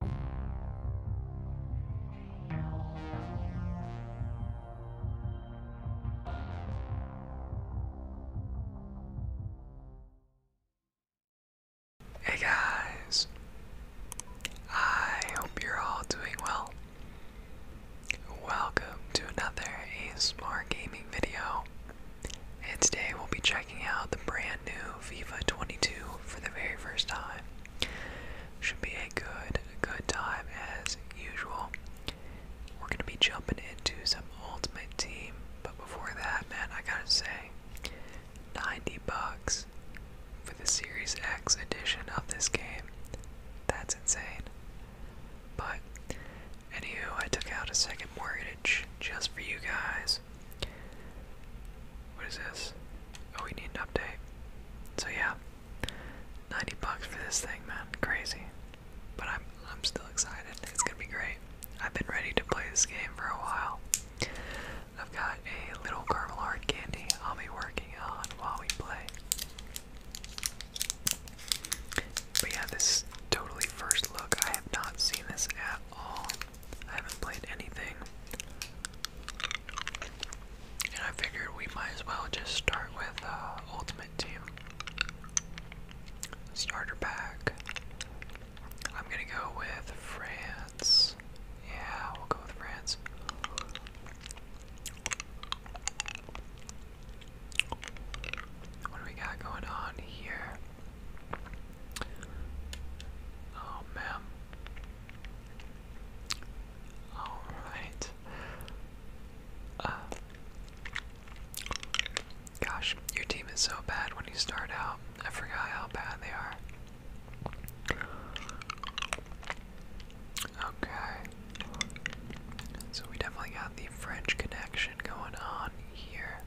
Hey guys, I hope you're all doing well. Welcome to another ASMR gaming video, and today we'll be checking out the brand new FIFA 22 for the very first time. Should be a good, good time as usual. We're gonna be jumping into some Ultimate Team, but before that, man, I gotta say, 90 bucks for the Series X edition of this game. That's insane. But anywho, I took out a second mortgage just for you guys, what is this? Oh, we need an update. So yeah, 90 bucks for this thing, man. Crazy. But I'm I'm still excited. It's gonna be great. I've been ready to play this game for a while. I've got a little caramel hard candy I'll be working on while we play. But yeah, this totally first look. I have not seen this at all. I haven't played anything. And I figured we might as well just start with uh, Ultimate Team. Starter pack. I'm gonna go with France. Yeah, we'll go with France. What do we got going on here? Oh man. Alright. Uh, gosh, your team is so bad when you start out. I forgot how bad they are. Okay. So we definitely got the French connection going on here.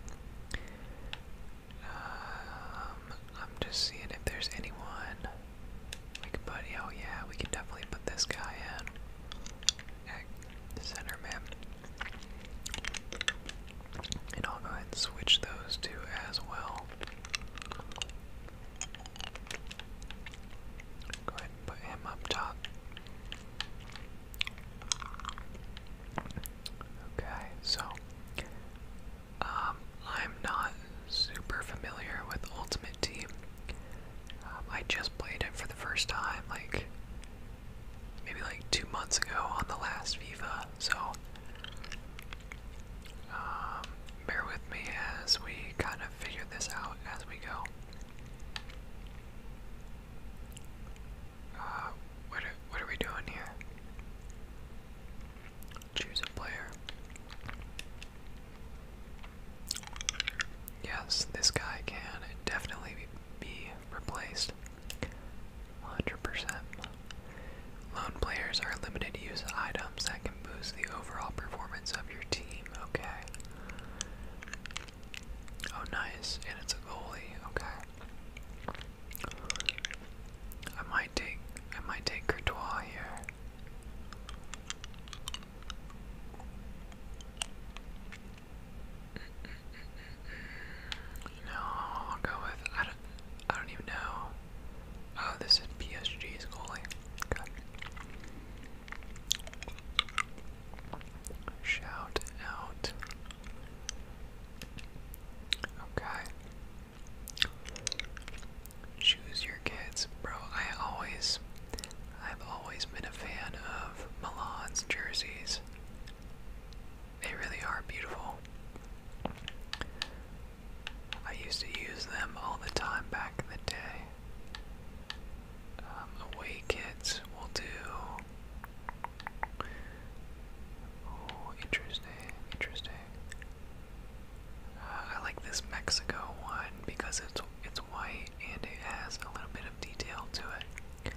Um, I'm just seeing if there's anyone we can put. Oh yeah, we can definitely put this guy in at and I'll go ahead and switch those two as well. Go ahead and put him up top. Okay, so um, I'm not super familiar with Ultimate Team. Um, I just played it for the first time, like maybe like two months ago on the last FIFA. So um, bear with me as we kind of figure this out as we go. Uh, what what are we doing here? Choose a player. Yes, this guy can definitely be replaced. 100%. Loan players are limited use items that can boost the overall performance of your team. Okay. Oh, nice. And it's a goalie. Okay. I might take I might take Courtois here. No, I'll go with I don't I don't even know. Oh, this is PSG's goalie. God. Shout out. Okay. Choose your kids, bro. I always, I've always been a fan of Milan's jerseys. They really are beautiful. I used to use them all the time back in the day. Um, away kids will do. Oh, interesting, interesting. I like this Mexico one because it's it's white and it has a little bit of detail to it.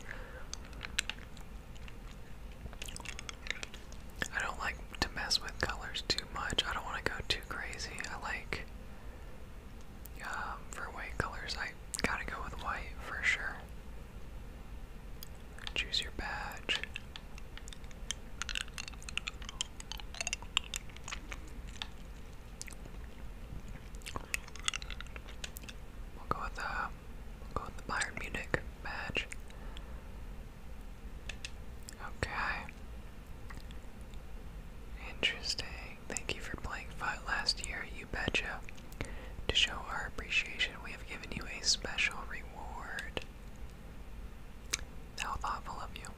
I don't like to mess with colors too much. I don't want to go too crazy. I like um, for white colors. I gotta go with white for sure. Choose your badge. We'll go with the uh, go with the Bayern Munich badge. Okay. Interesting. Thank you for playing Fight last year, you betcha. To show our appreciation, we have given you a special reward. How thoughtful of you.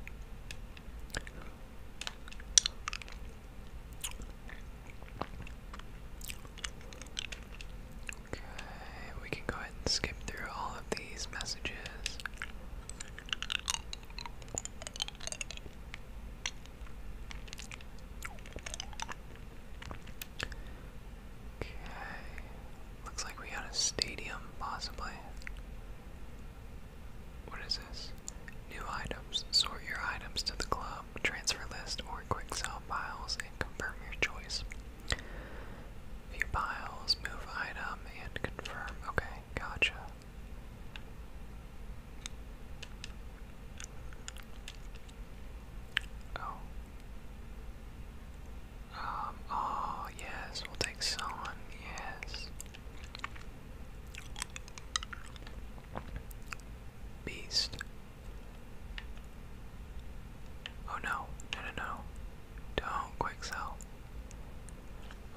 Okay, we can go ahead and skip through all of these messages. Okay. Looks like we got a stadium, possibly. What is this? New items. Sort your items to the club, transfer list, or quick sell piles, and confirm your choice. View piles, move item, and confirm. Okay, gotcha. Oh. Um, oh, yes, we'll take someone, yes. Beast. Oh no, no, no, no. Don't quick sell.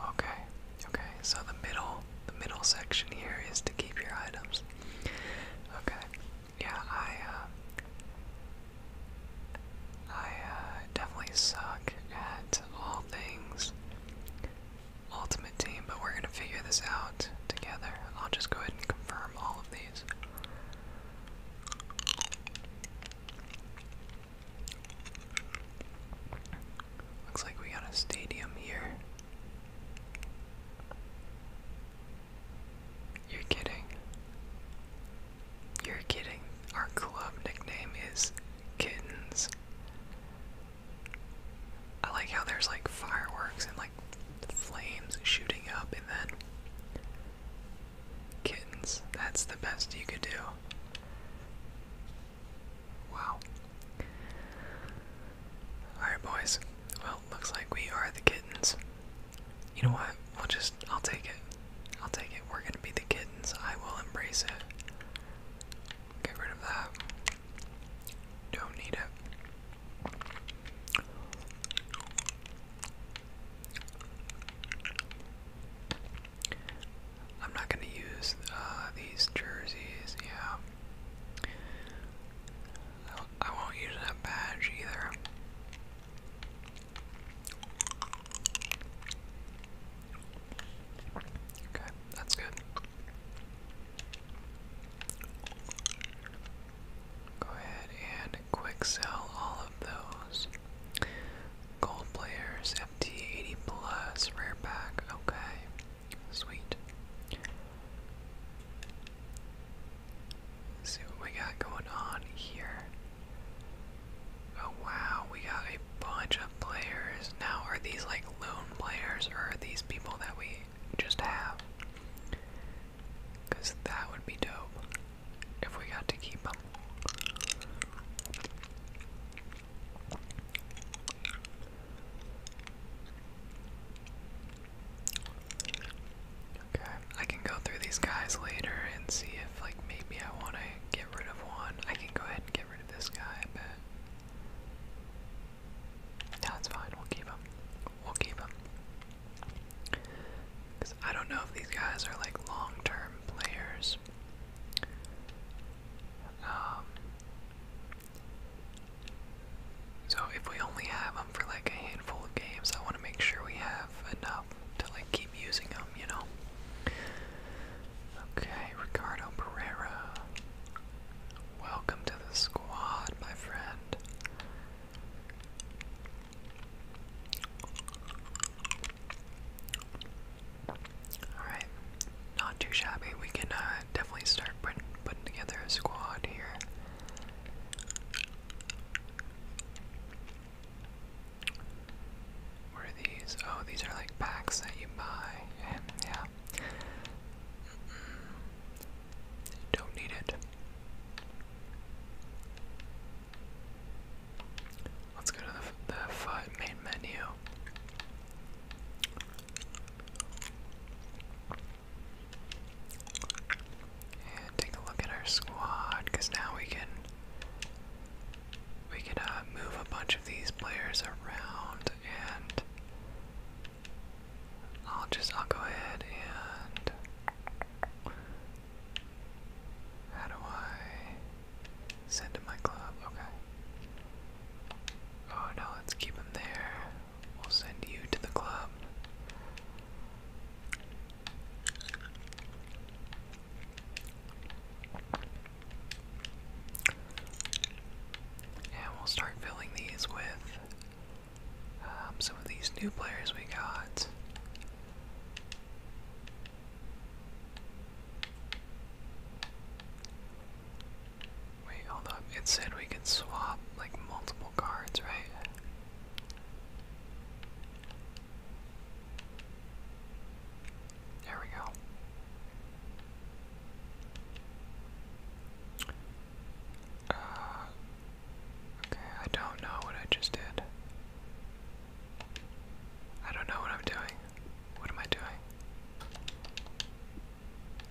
Okay, okay, so the middle, the middle section here is to keep your items. Okay, yeah, I, uh, I, uh, definitely suck at all things Ultimate Team, but we're gonna figure this out together. I'll just go ahead and confirm all of these. Looks like we got a stadium here. You're kidding. You're kidding. Our club nickname is Kittens. I like how there's like fireworks and like flames shooting up and then kittens. That's the best you could do. Wow. Alright, boys. Well, looks like we are the kittens. You know what? We'll just I'll take it. I'll take it. We're gonna be the kittens. I will embrace it. Get rid of that. Don't need it. I'm not gonna use uh, these jerseys. Yeah, I won't use that badge either. Okay, that's good. Go ahead and quick sell all of those. Gold players, FT80 plus, rare pack, okay. Sweet. Let's see what we got going on here. Oh wow, we got a bunch of players. Now are these like lone players or are these people that we just have? Cause that would be dope if we got to keep them. Okay, I can go through these guys later and see if, like, maybe I want to get rid of one. I can go ahead and get rid of this guy, but bet. No, it's fine. We'll keep him. We'll keep him. Because I don't know if these guys are, like, long term players. Um. So if we only have them for like a handful of games. I want to make sure we have enough to like keep using them, you know. Okay, Ricardo Pereira. Welcome to the squad, my friend. Alright, not too shabby. We can uh, definitely start putting, putting together a squad here. What these? Oh, these are like packs that you buy, and yeah. Don't need it. Let's go to the, the foot main menu and take a look at our squad because now we can we can uh, move a bunch of these players around and I'll just I'll go ahead and how do I send to my club? Okay. Oh no, let's keep him there. We'll send you to the club. And we'll start filling these with um, some of these new players we got. Wait, hold up. It said we could swap like multiple cards, right? There we go. Uh, okay, I don't know what I just did. I don't know what I'm doing. What am I doing?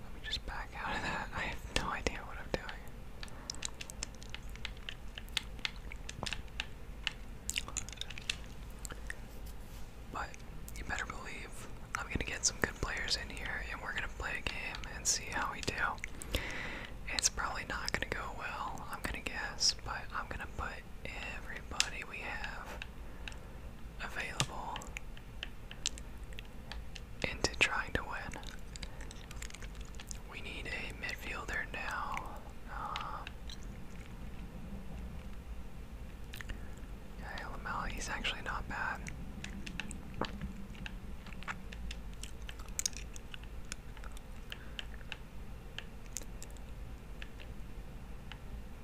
Let me just back out of that. I have no idea what I'm doing. But you better believe I'm gonna get some good players in here and we're gonna play a game and see how we do. It's probably not gonna go well, I'm gonna guess, but I'm gonna put everybody we have available into trying to win. We need a midfielder now. Um, yeah, actually not bad.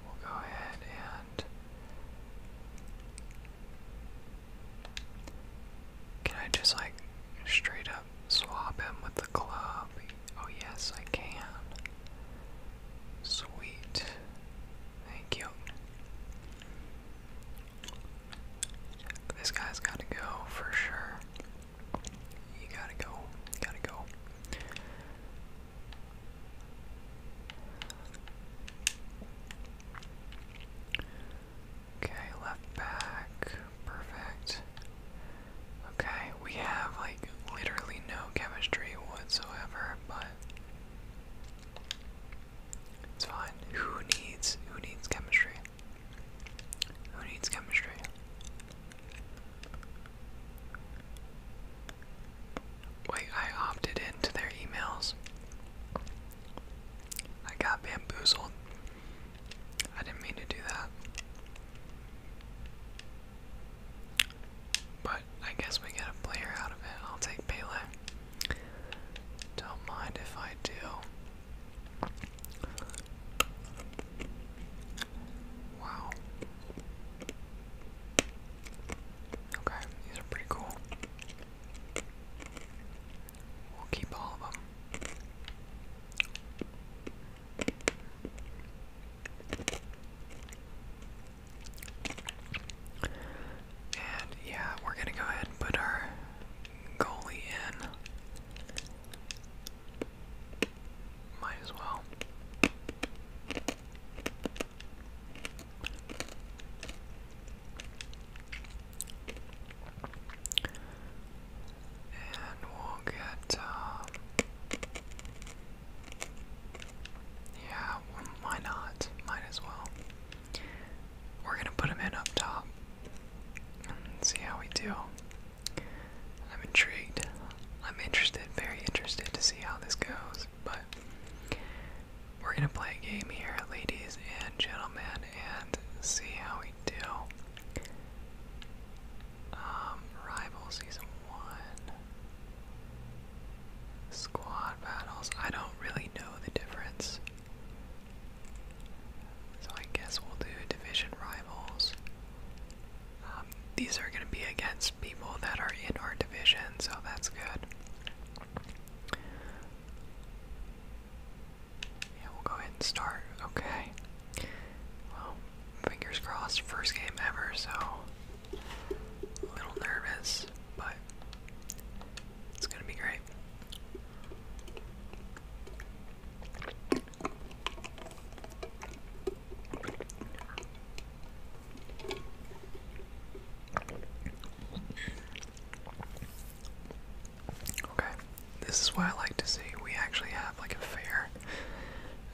We'll go ahead and. Can I just like straight up swap him with club. Oh, yes, I can. Sweet. Thank you. This guy's got to go for sure. You gotta go. gotta go. Okay, left back. Perfect. Okay, we have like literally no chemistry whatsoever, but it's fine. Who needs who needs chemistry? Who needs chemistry? Wait, I opted into their emails. I got bamboozled. I didn't mean to do that. But I guess we get a player out of it. I'll take Pele. Don't mind if I do. Wow. Okay, these are pretty cool. We'll keep all of them. And yeah, we're gonna go ahead and put our goalie in. Might as well. And we'll get, uh, yeah, why not? Might as well. We're gonna put him in up top and see how we do. I'm intrigued. I'm interested, very interested to see how this goes, but we're gonna play a game here, ladies and gentlemen, and see how we do. Um, Season 1. Squad battles. I don't really know the difference. So I guess we'll do Division Rivals. Um, these are going to be against people that are in our division, so that's good. Yeah, we'll go ahead and start. Okay. Well, fingers crossed, first game ever, so a little nervous, but it's gonna be great. Okay, this is why I like to see. We actually have like a fair,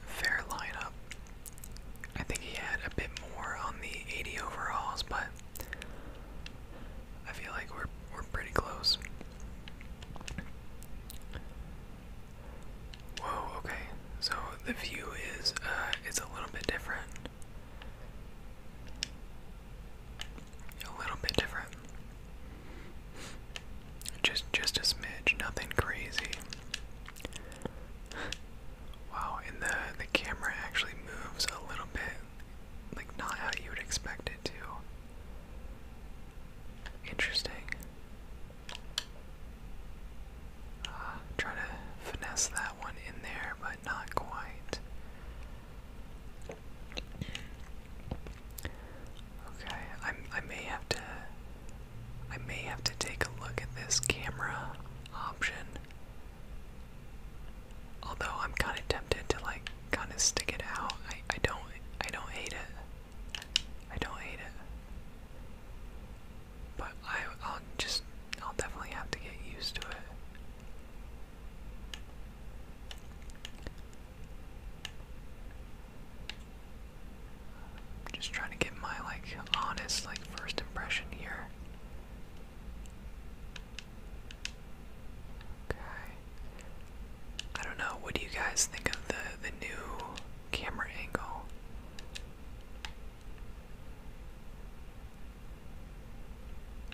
fair lineup. I think he had a bit more on the 80 overalls, but I feel like we're we're pretty close. Whoa. Okay, so the view is uh, it's a little bit different. A little bit different. Just just a smidge, nothing crazy. Wow, and the the camera actually moves a little bit, like not how you would expect it to. Interesting. Ah, try to finesse that one in there, but not quite. Okay, I I may have to I may have to take a look at this camera option. Although I'm kind of tempted to like kind of stick it out. I I don't I don't hate it. I don't hate it. But I I'll just I'll definitely have to get used to it. Just trying to get my like honest like first impression here. Okay. I don't know, what do you guys think of the the new camera angle?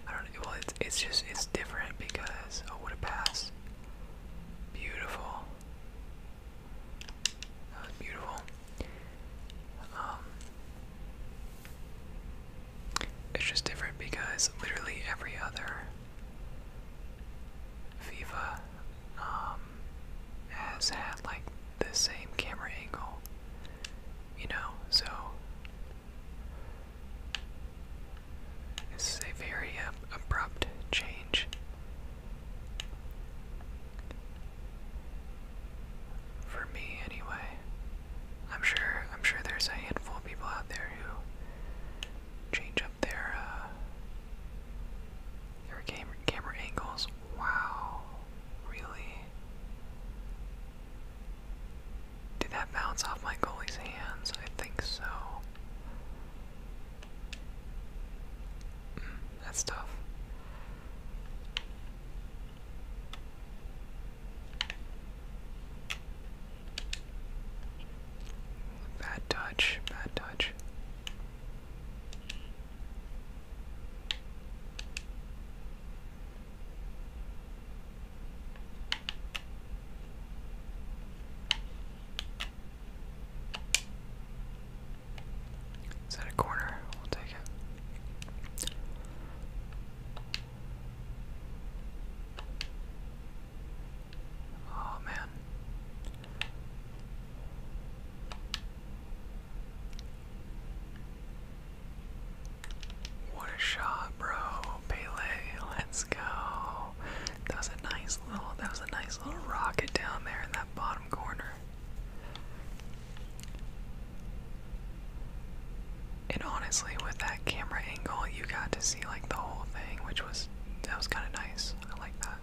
I don't know, well it's it's just it's different because oh what a pass. Beautiful. That was beautiful. Um, it's just different because literally every other FIFA um, has had like the same camera angle, you know, so this is a very um, abrupt change for me, anyway. I'm sure. I'm sure there's a handful people out there who change up their uh, their camera camera angles. Wow, really? Did that bounce off my goalie's hands? I think so. That's tough. Bad touch, bad touch. Is that a corner? We'll take it. Oh man. What a shot, bro. Pele, let's go. That was a nice little that was a nice little rocket down there in that bottom corner. And honestly, with that camera angle, you got to see like the whole thing, which was that was kind of nice. I like that.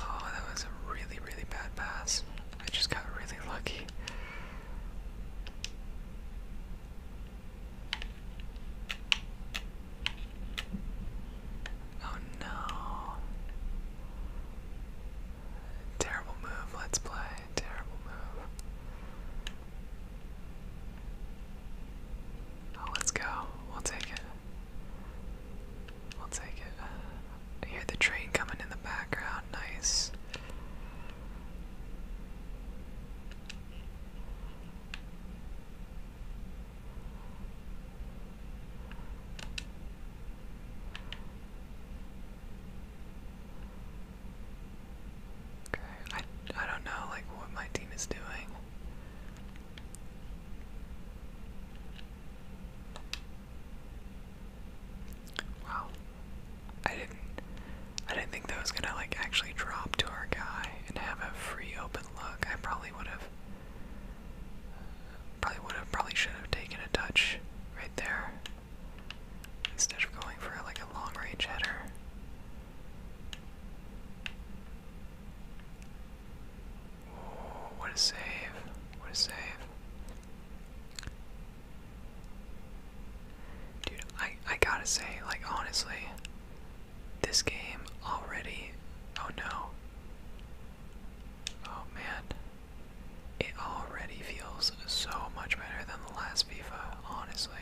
Oh, that was a really, really bad pass. I just got really lucky. Oh no. Terrible move, let's play. Terrible move. Oh, let's go. We'll take it. We'll take it. I hear the train coming in the background. Nice. Okay, I I don't know like what my team is doing. Wow. I didn't I didn't think that was gonna like actually drop to our guy and have a free open look. I probably would have probably would have probably should have taken a touch right there. Instead of going for like a long range header what a save. What a save. Dude, I, I gotta say, like, honestly, this game already. Oh no. Oh man. It already feels so much better than the last FIFA, honestly.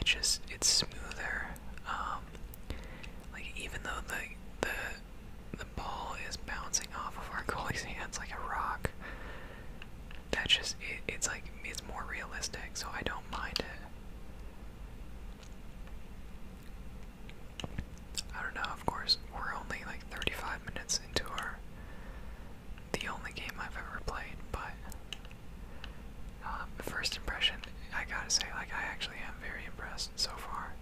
It's just, it's smoother. Um, like, even though the, the the ball is bouncing off of our goalie's hands like a rock. That's just it's like it's more realistic, so I don't mind it. I don't know. Of course, we're only like 35 minutes into our the only game I've ever played, but um, first impression, I gotta say, like I actually am very impressed so far.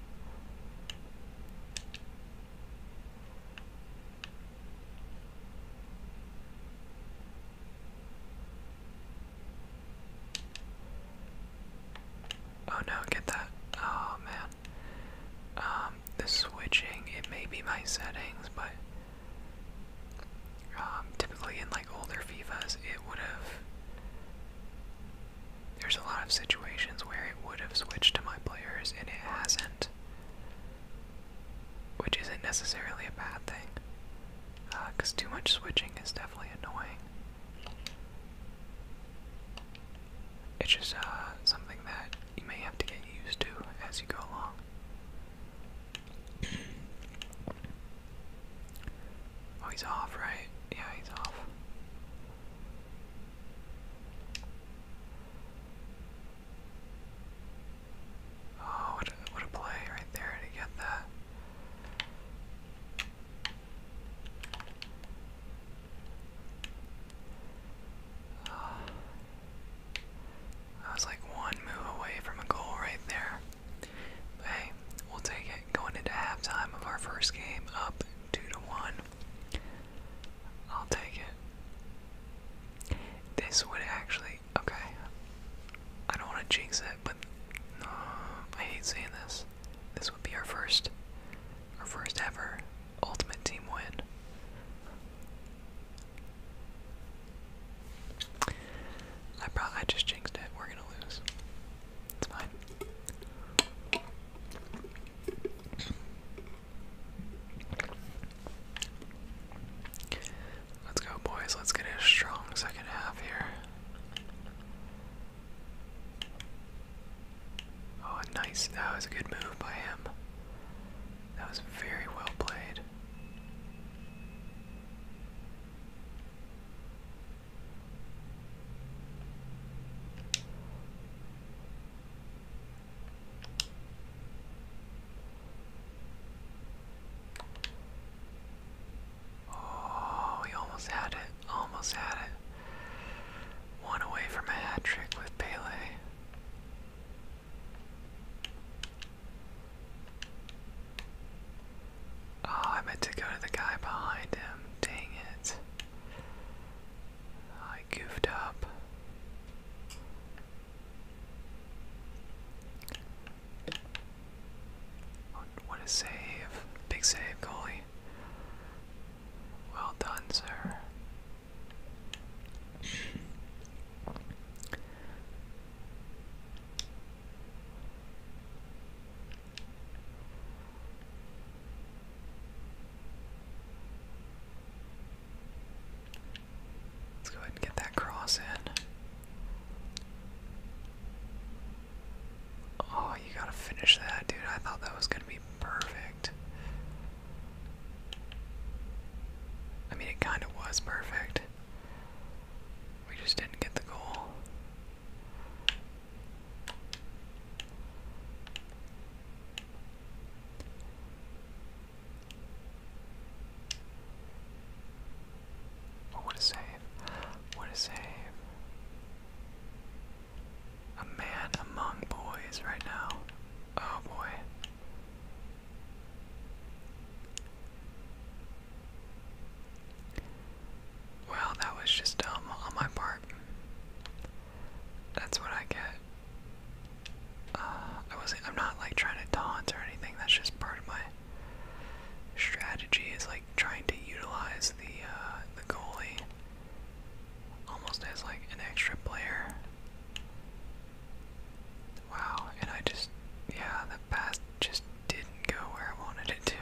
Oh no, get that. Oh man. Um, the switching, it may be my settings, but um, typically in like older FIFAs, it would have there's a lot of situations where it would have switched to my players and it hasn't, which isn't necessarily a bad thing, because uh, too much switching is definitely annoying. It's just uh, something that you may have to get used to as you go along. Oh, he's off, right? Yeah, he's off. Oh, what a, play right there to get that. I ah. was like one move away from a goal right there. But hey, we'll take it. Going into halftime of our first game, up two to one. I'll take it. This would actually. Okay. I don't want to jinx it, but I hate saying this. This would be our first, our first ever ultimate team win. I probably I just jinxed it. We're gonna lose. Let's go, boys. Let's get a strong second half here. Oh, nice. That was a good move by him. That was very well played. Oh, we almost had it. Almost had it. One away from a hat trick with Pele. Oh, I meant to go to the guy behind him. Dang it. I goofed up. What a save. Big save, goalie. Well done, sir. Let's go ahead and get that cross in. Oh, you gotta finish that, dude. I thought that was gonna be perfect. I mean, it kind of was perfect. We just didn't get the goal. Oh, what a save. What a save. A man among boys right now. Oh boy. Well, that was just dumb on my part. That's what I get. Uh, I wasn't. I'm not like trying to taunt or anything. That's just part of my strategy. Is like trying to utilize the uh, the goalie almost as like an extra player. Wow. And I just yeah, the pass just didn't go where I wanted it to.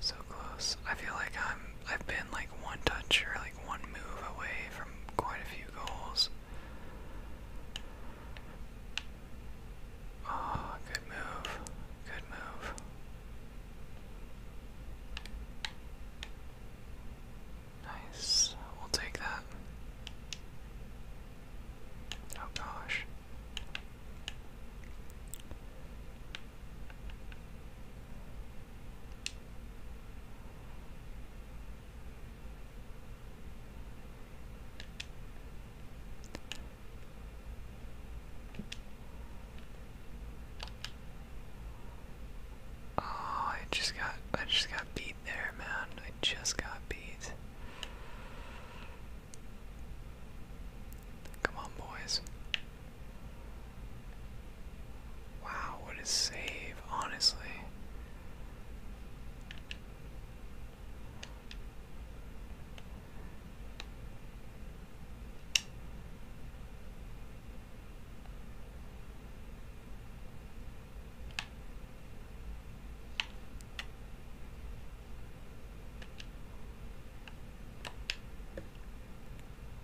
So close. I feel like I'm I've been like one touch or like one move away from quite a few goals. Oh, good move. Good move. Nice. We'll take that. Oh gosh. Oh, I just got I just got beat there, man. I just got beat. Come on, boys. Wow, what a save, honestly.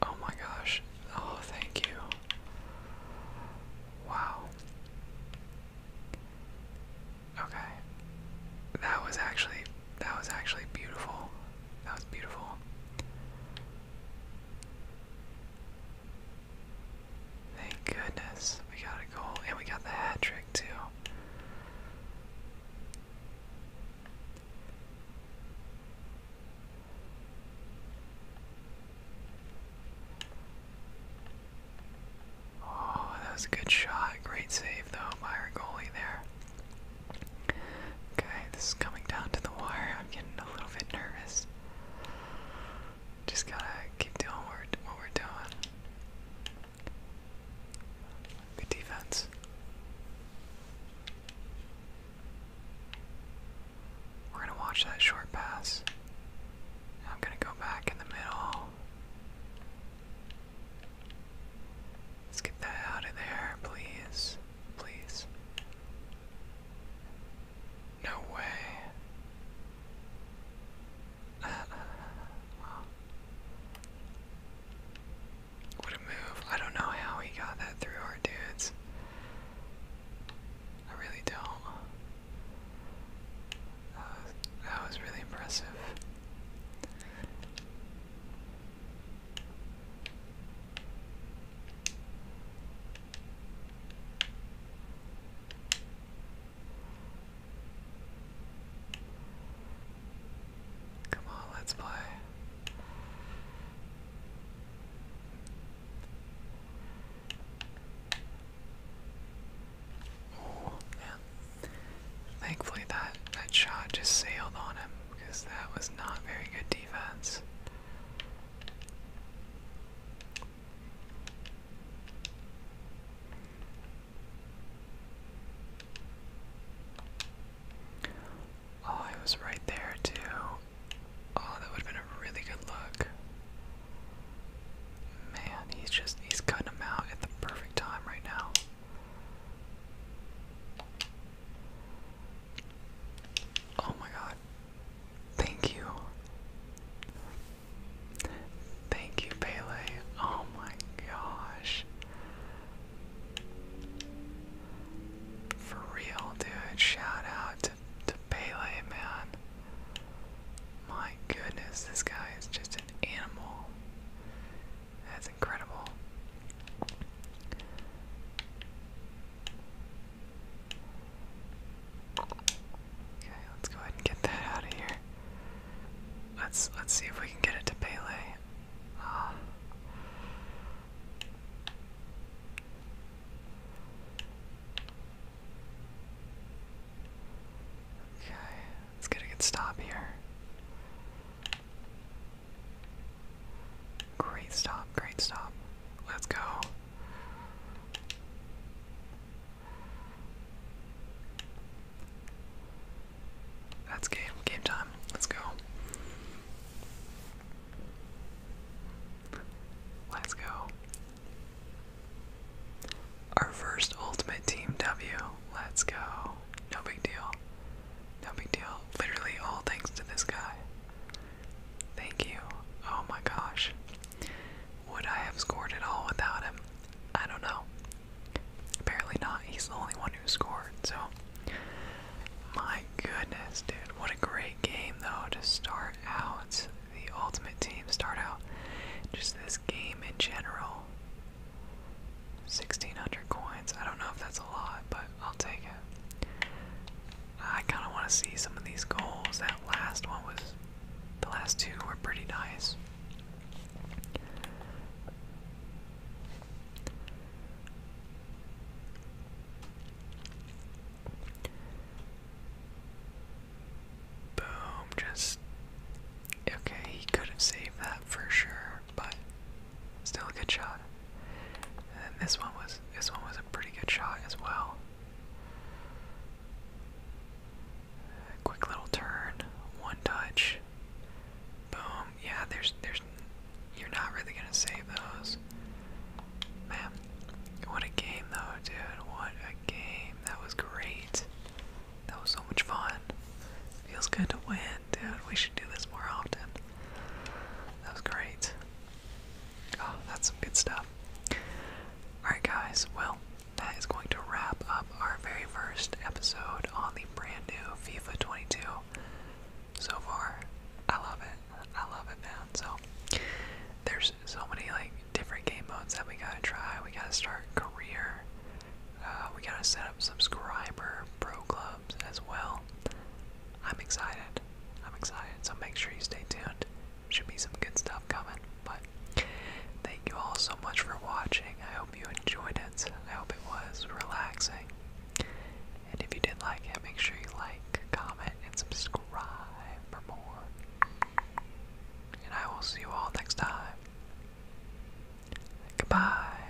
Oh my gosh. Oh, thank you. Wow. Okay. That was actually that was actually beautiful. That was beautiful. Thank goodness we got a goal and we got the hat trick too. Oh, that was a good shot. Great save though by our goalie there. Okay, this is coming down to the wire. I'm getting a little bit nervous. Just gotta keep doing what we're doing. Good defense. We're gonna watch that short pass. I'm gonna go back in the middle. Let's get that out of there, please please. No way. Uh, uh, what a move. I don't know how he got that through our dudes. I really don't. that was really impressive. Come on, let's play. Oh man. Thankfully that that shot just sailed on him because that was not very good defense. Oh, I was right there too. Oh, that would have been a really good look. Man, he's just, he's cutting him out at the perfect time right now. Oh my god. Thank you. Thank you, Pele. Oh my gosh. For real, dude. Shout out to, to Pele, man. My goodness, this guy is just an animal incredible. Okay, let's go ahead and get that out of here. Let's let's see if we can get it to Pele. Um, okay, let's get a good here. Great stop, great stop. Let's go. That's game, game time. Let's go. Let's go. Our first ultimate team W. Let's go. No big deal. No big deal. Literally all thanks to this guy. Thank you. Oh my gosh. Would I have scored at all without him? I don't know. Apparently not. He's the only one who scored, so. My goodness, dude. What a great game, though, to start out. The Ultimate Team start out. Just this game in general. 1600 coins. I don't know if that's a lot, but I'll take it. I kind of want to see some of these goals. That last one was, the last two were pretty nice. Boom, just. Okay, he could have saved that for sure but still a good shot. And this one was this one was a pretty good shot as well. quick little turn, one touch. Boom. Yeah, there's there's you're not really gonna save those. Man, what a game though, dude. What a game. That was great. That was so much fun. Feels good to win, dude. We should do this more often. That was great. Oh, that's some good stuff. Alright, guys, well, that is going to wrap up our very first episode on the brand new FIFA 22. So far, I love it. I love it, man. So, there's so many, like, different game modes that we gotta try. We gotta start career. Uh, we gotta set up subscriber, pro club as well. I'm excited. I'm excited. So make sure you stay tuned. Should be some good stuff coming. But thank you all so much for watching. I hope you enjoyed it. I hope it was relaxing. And if you did like it, make sure you like, comment, and subscribe for more. And I will see you all next time. Goodbye.